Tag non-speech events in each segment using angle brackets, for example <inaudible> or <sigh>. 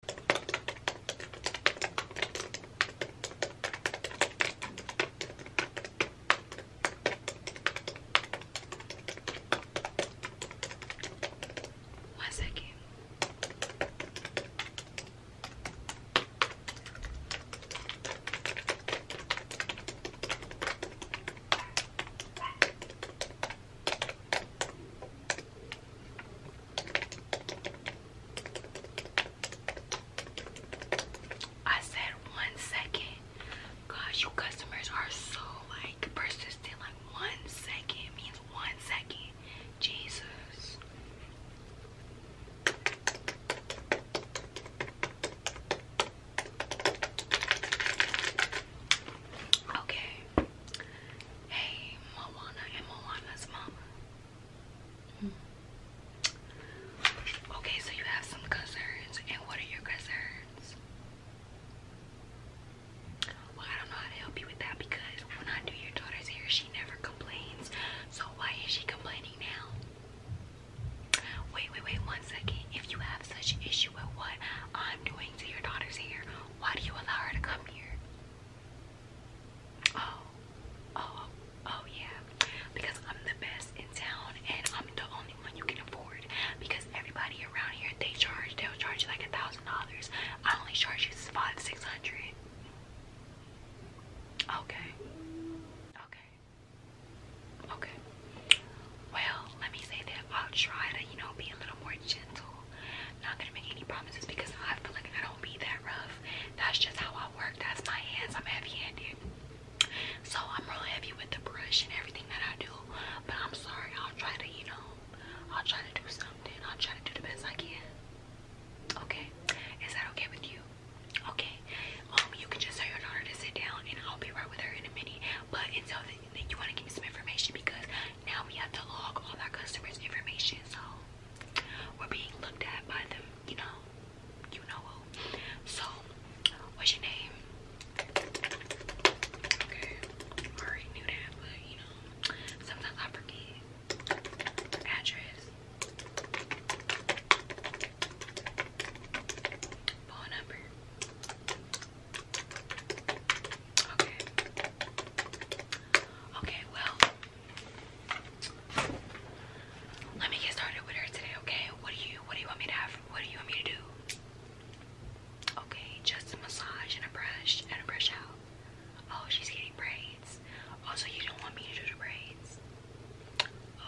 One second. I said one second. Gosh, your customers are so like persistent. Like one second means one second. Jesus. Okay. Hey, Moana and Moana's mama. Hmm. Okay, so you have some concerns, and what are your concerns? Well, I don't know how to help you with that because when I do your daughter's hair, she never complains. So why is she complaining now? Wait, wait, wait one second. If you have such issue with what I'm doing to your daughter's hair, why do you allow her to come here? Oh, oh, oh yeah. Because I'm the best in town and I'm the only one you can afford. Because everybody around here they charge, they'll charge you like a thousand dollars. I only charge you five, six hundred. Okay. Okay. Okay. Well, let me say that I'll try to, you know, be a little more gentle not gonna make any promises because I feel like I don't be that rough. That's just how I work. That's my hands. I'm heavy-handed. So I'm real heavy with the brush and everything that I do. But I'm sorry. I'll try to, you know, I'll try to do something. I'll try to do the best I can. Okay? Is that okay with you? Okay. Um, you can just tell your daughter to sit down and I'll be right with her in a minute. But until then, you want to give me some information because now we have to log all our customers' information, so we're being looked at by them, you know, you know So, what's your name? Okay, already knew that, but you know, sometimes I forget address, phone number. Okay. Okay, well, let me get started with her today, okay? What do you what do you want me to have? What do you want me to do? Okay, just a massage and a brush and a brush out. Oh, she's getting braids. Also, you don't want me to do the braids.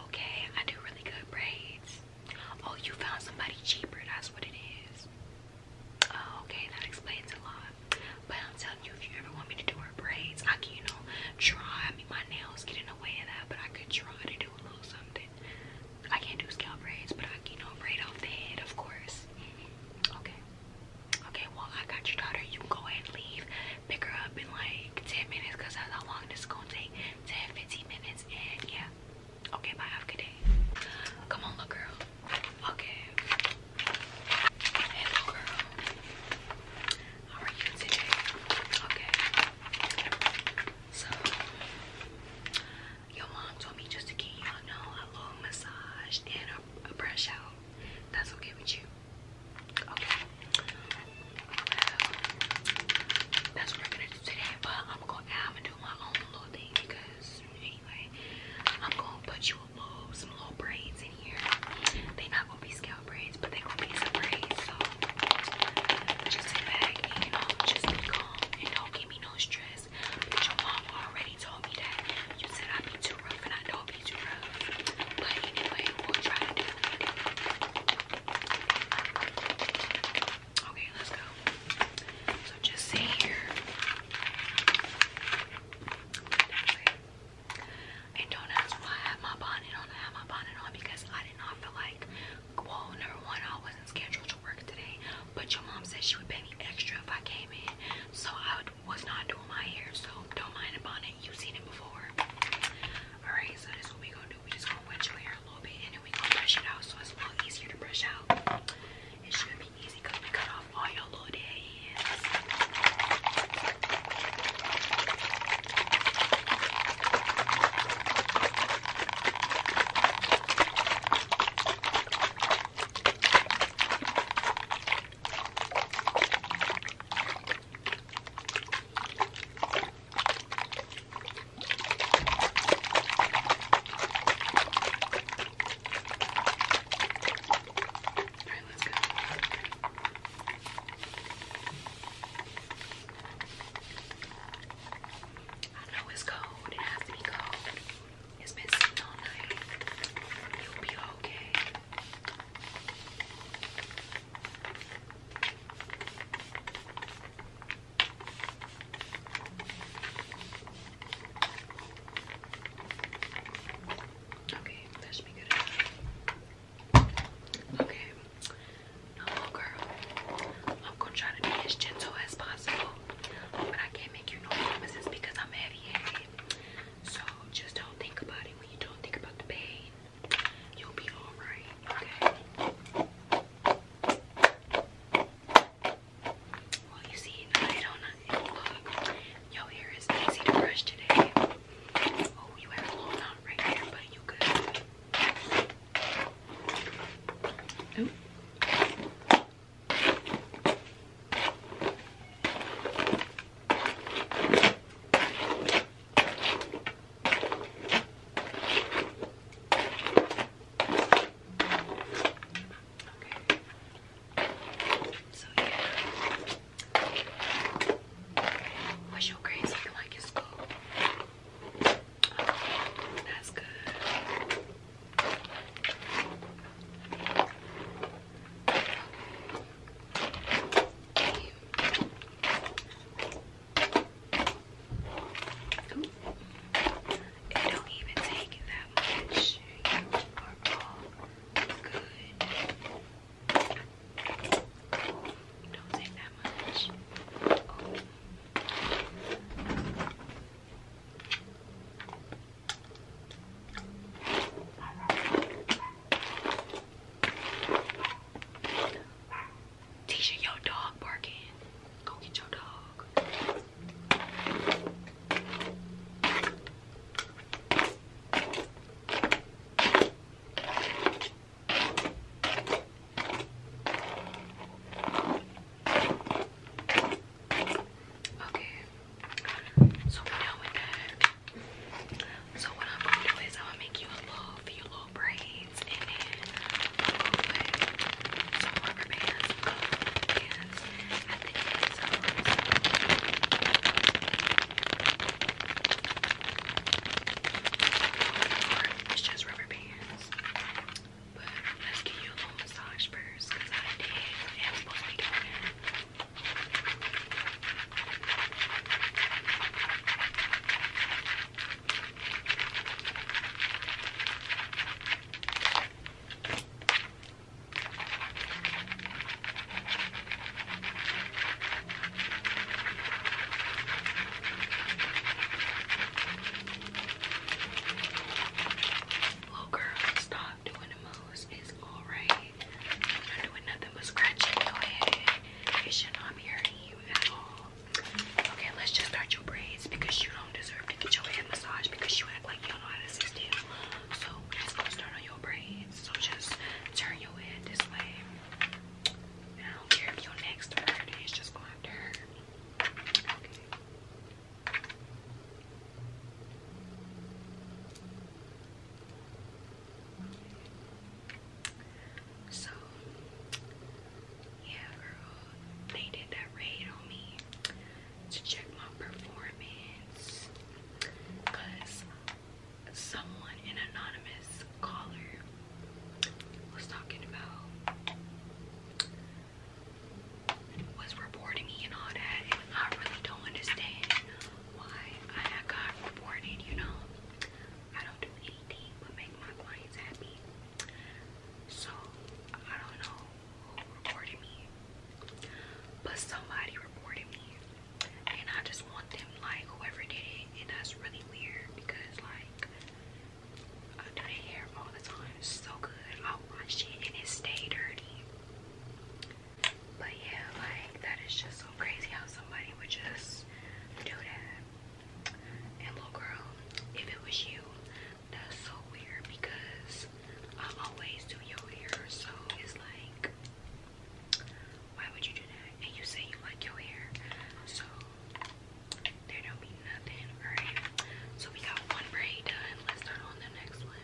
Okay, I do really good braids. Oh, you found somebody cheaper, that's what it is. Oh, okay, that explains a lot. But I'm telling you, if you ever want me to do her braids, I can, you know, try. I mean, my nails get in the way of that, but I could try to do a little something. I can't do scalp braids, but I can, you braid off the head, of course. Okay. Okay, well, I got your daughter. You can go ahead and leave. Pick her up in like 10 minutes that's how long this is going to take. 10, 15 minutes. And yeah, Okay, bye. Have a good day. Come on, little girl. Okay. Hello, girl. How are you today? Okay. So, your mom told me just to give you a massage and a, brush out. That's okay with you. Okay. that's what we're gonna do today, but I'm gonna, do my own little thing Anyway, I'm gonna put you a little, some little braids in here. They not gonna be scalp braids, but they gonna be some braids. So just sit back you know, just be calm and don't give me no stress. But your mom already told me that you said I'd be too rough, and I don't be too rough. But anyway, we'll try to do it. Okay, let's go. So just sit here. And don't ask why I have my bonnet on. I have my bonnet on because I did not feel like, well, number one, I wasn't scheduled to work today. But your mom said she would pay me extra if I came in. So I was not doing my hair. So don't mind the bonnet. You've seen it before. Alright, so this is what we gonna do, we just gonna wet your hair a little bit and then we gonna brush it out so it's a little easier to brush out. It should be easy because we cut off all your little dead ends. Alright, let's go. I know it's cold. It has to be cold. It's been sitting all night. You'll be okay. Okay, that should be good Okay, now little girl, I'm gonna try to be as gentle as possible, but I can't make you no promises because I'm heavy-handed. So just don't think about it. When you don't think about the pain, you'll be all right. Okay. Well, you see, no, I don't know. Look, your hair is easy to brush today. Oh, you have a little knot right there, but you good. Ooh. So yeah. What's your grades looking like in school? Okay, that's good. Okay. It don't even take that much. You are all good. Don't take that much. Oh. Tisha, your dog barking. Go get your dog. Okay. So we're done with so what I'm gonna do is I'm gonna make you a little few little braids and then some rubber bands, bands at It's just rubber bands. But let's give you a little massage first I did it. Little oh, girl, stop doing the most. It's alright. I'm doing nothing but scratching your head. It should not be hurting you. Okay, let's just start your braids because you don't deserve to get your head massage because you act like you don't know how to sit still. So let's go start on your braids. So just turn your head this way. I don't care if your neck's hurt, it's just going to hurt. Okay. So, yeah, girl, they did that raid on me to check my performance someone, anonymous caller, was talking about was reporting me and all that I really don't understand why I got reported you know I don't do anything but make my clients happy. So I don't know who reported me, but somebody reported me, and I just want them like whoever did it, and that's really weird because like I do their hair all the time, so good. I wash it and it stay dirty. But yeah, like that is just so crazy how somebody would just do that. And little girl, if it was you, that's so weird because I always do your hair, so it's like, why would you do that? And you say you like your hair, so there don't be nothing, alright? So we got one braid done. Let's turn on the next one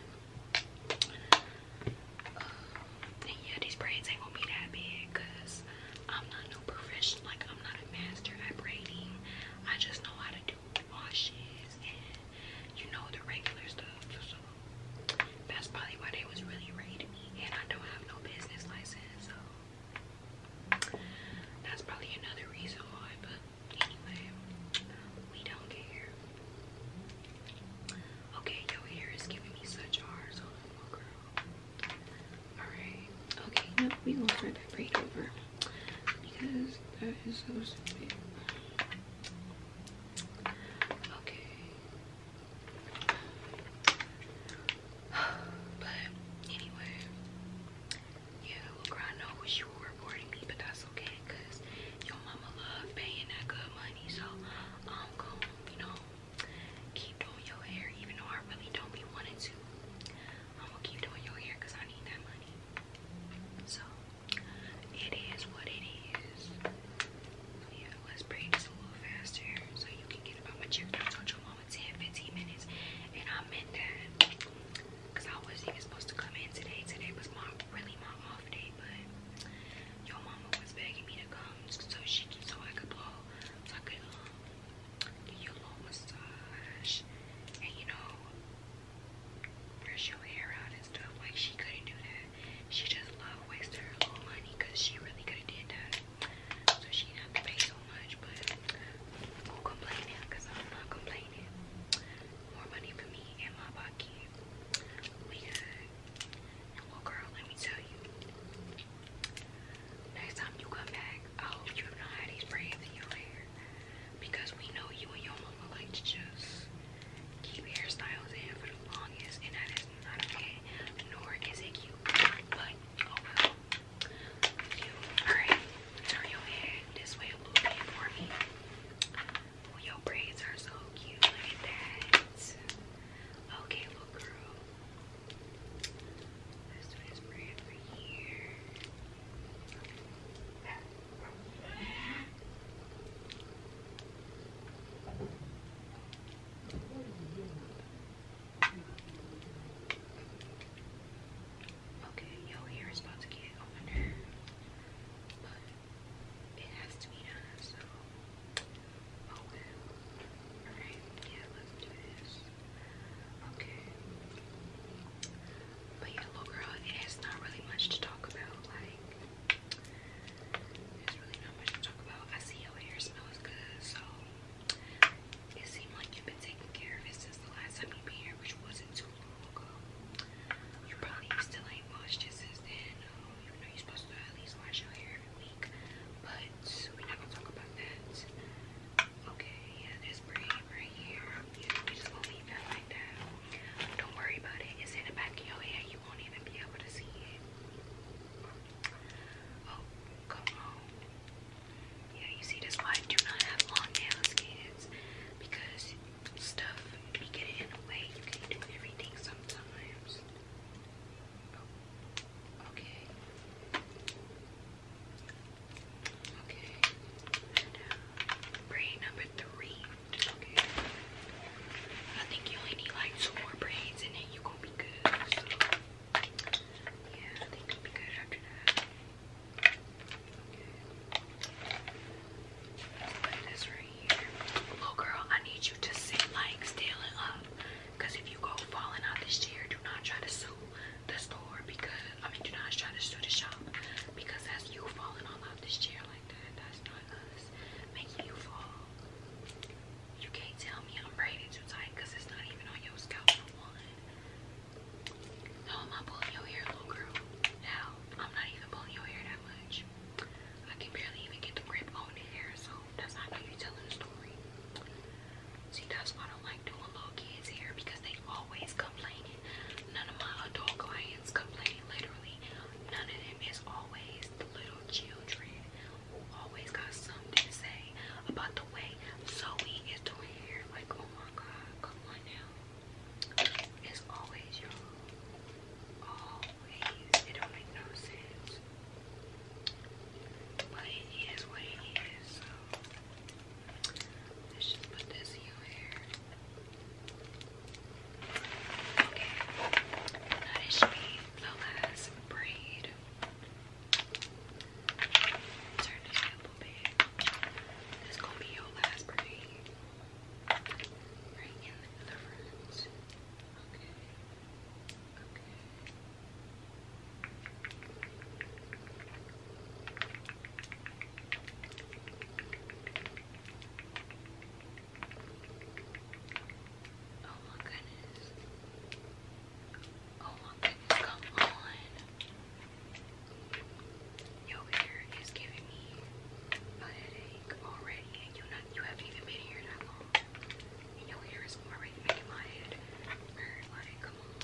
and yeah, these braids ain't gonna be that big I'm not no professional, like I'm not a master at braiding. I just know how to do washes and you know the regular stuff. So that's probably why they was really raiding me. And I don't have no business license, so that's probably another reason why. But anyway, we don't care. Okay, your hair is giving me such ours. Hold Alright. Okay, no, we gonna start that braid over. Because that is so stupid. Okay. <sighs> But anyway, yeah, look, I know you were reporting me, but that's okay, cause your mama love paying that good money, so I'm going you know, keep doing your hair even though I really don't be wanting to. I'm gonna keep doing your hair because I need that money. So it is what it is. let's braid this a little faster so you can get about my check. I told your mama 10, 15 minutes, and I meant that because I wasn't even supposed to come in today. Today was my really my off day, but your mama was begging me to come so she so I could blow so I could um do you a massage and you know brush your hair out and stuff like she couldn't do that. She just loved wasting her little money she really could have did that. So she did have to pay so much but who complaining I'm not complaining. More money for me in my pocket. We good. And well girl, let me tell you. Next time you come back, I you have not had these braids in your hair. Because we know you and your mama like to just keep hairstyles in for the longest and that is not okay. Nor is it cute. But oh You turn your head this way a little bit for me. Oh, your braids are so cute. Look at that. Okay, little girl. Let's do this braid right here. Okay, your hair about to get on <laughs> it has to be done, so oh, But yeah, little girl, it's not really much to talk about. Like, there's really not much to talk about. I see your hair smells good, so it seemed like you've been taking care of it since the last time you've been here, which wasn't too you probably still ain't washed it since then. Um, you know you're supposed to at least wash your hair every week, but we're not gonna talk about that. Okay, yeah, this braid right here. Um, yeah, we just gonna leave that like that. Don't worry about it. It's in the back of your hair. You won't even be able to see it. Oh, come on. Yeah, you see, that's why I do not have long nails, kids, because sometimes. braid number three. I think you only need like two more braids and then you gonna be good. yeah, I think you'll be good after that. Little girl, I need you to sit like standing up. Because if you go falling out this chair, do not try to sue the store because, I mean, do not try to sue the shop because that's you falling all out this chair like that. That's not us making you fall. You can't tell me I'm braided too tight because it's not even on your scalp for one. am I pulling your hair, little girl? Now. I'm not even pulling your hair that much. I can barely even get the grip on the hair, so that's how you're telling the story. See, that's why I don't like doing little kids' hair because they always complaining. None of my adult clients complain, literally. None of them is always the little children who always got something to say about the way Zoe is doing hair. Like, oh my god, come on now. It's always your always. It don't make no sense. But it is what it is, so let's just put this in your hair. Okay. Now this the last braid. Turn this up a This gonna be your last braid. Bring in Oh my goodness. Oh my goodness, come on. Your hair is giving me headache already, and you not haven't even been here that long. your hair is already making my head hurt. come on.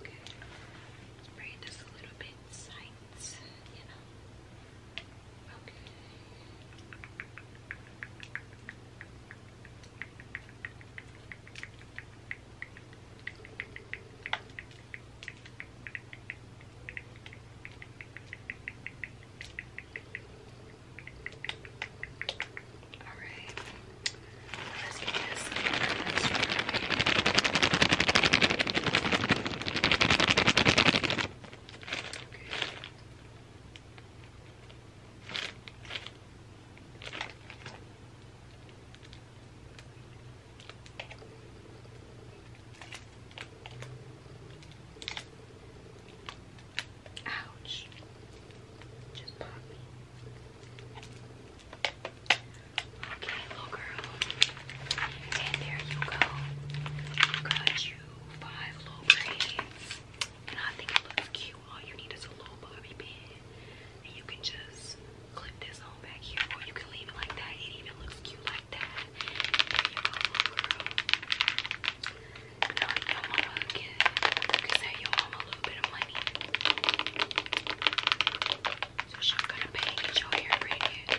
Okay, spray this a little bit tight, you know. Okay. All right, let's get this. Okay. Ouch. Just pop me. Okay, little girl. And there you go. Got you five little braids. And I think it looks cute. All you need is a little bobby pin. And you can just clip this on back here. Or you can leave it like that. It even looks cute like that. There you go, little girl. Now you can save your a little bit of money. So she'll cut a your hair braided.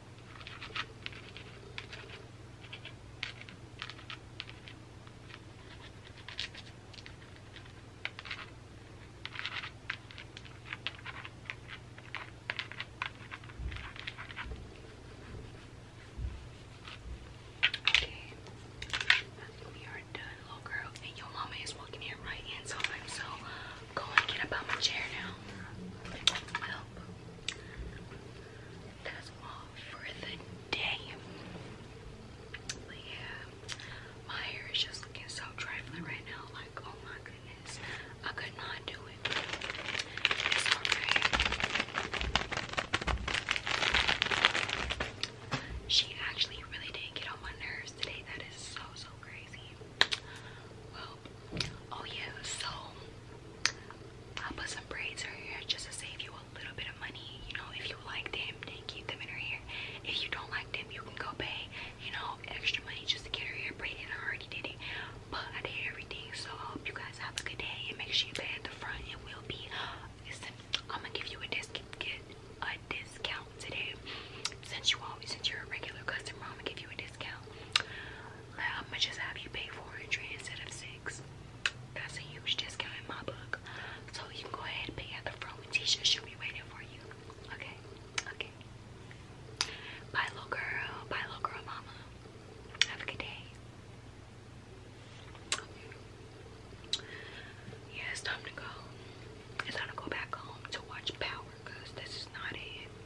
Okay, I we are done, little girl. And your mama is walking in right in time, so go and get up out chair now that's all for the day. my hair is just looking so trifling right now. Like, oh my goodness, I could not do it. It's alright. She actually really did get on my nerves today. That is so so crazy. oh yeah, so I'll put some braids in her hair just to save you a little bit of money. You know, if you like them, then keep them in her hair. If you don't like them, you can go pay, you know, extra money just to get her hair braided. I already did it, but I did everything. So I hope you guys have a good day and make sure you pay at the front. It will be. I'm gonna give you a discount. today. Since you always, since you're a regular customer, I'm gonna give you a discount how much is that you pay for entry instead of six? That's a huge discount in my book. So you can go ahead and pay at the front. Tisha should be waiting for you. Okay, okay. Bye, little girl. Bye, little girl, mama. Have a good day. Yeah, it's time to go. It's time to go back home to watch Power because this is not it.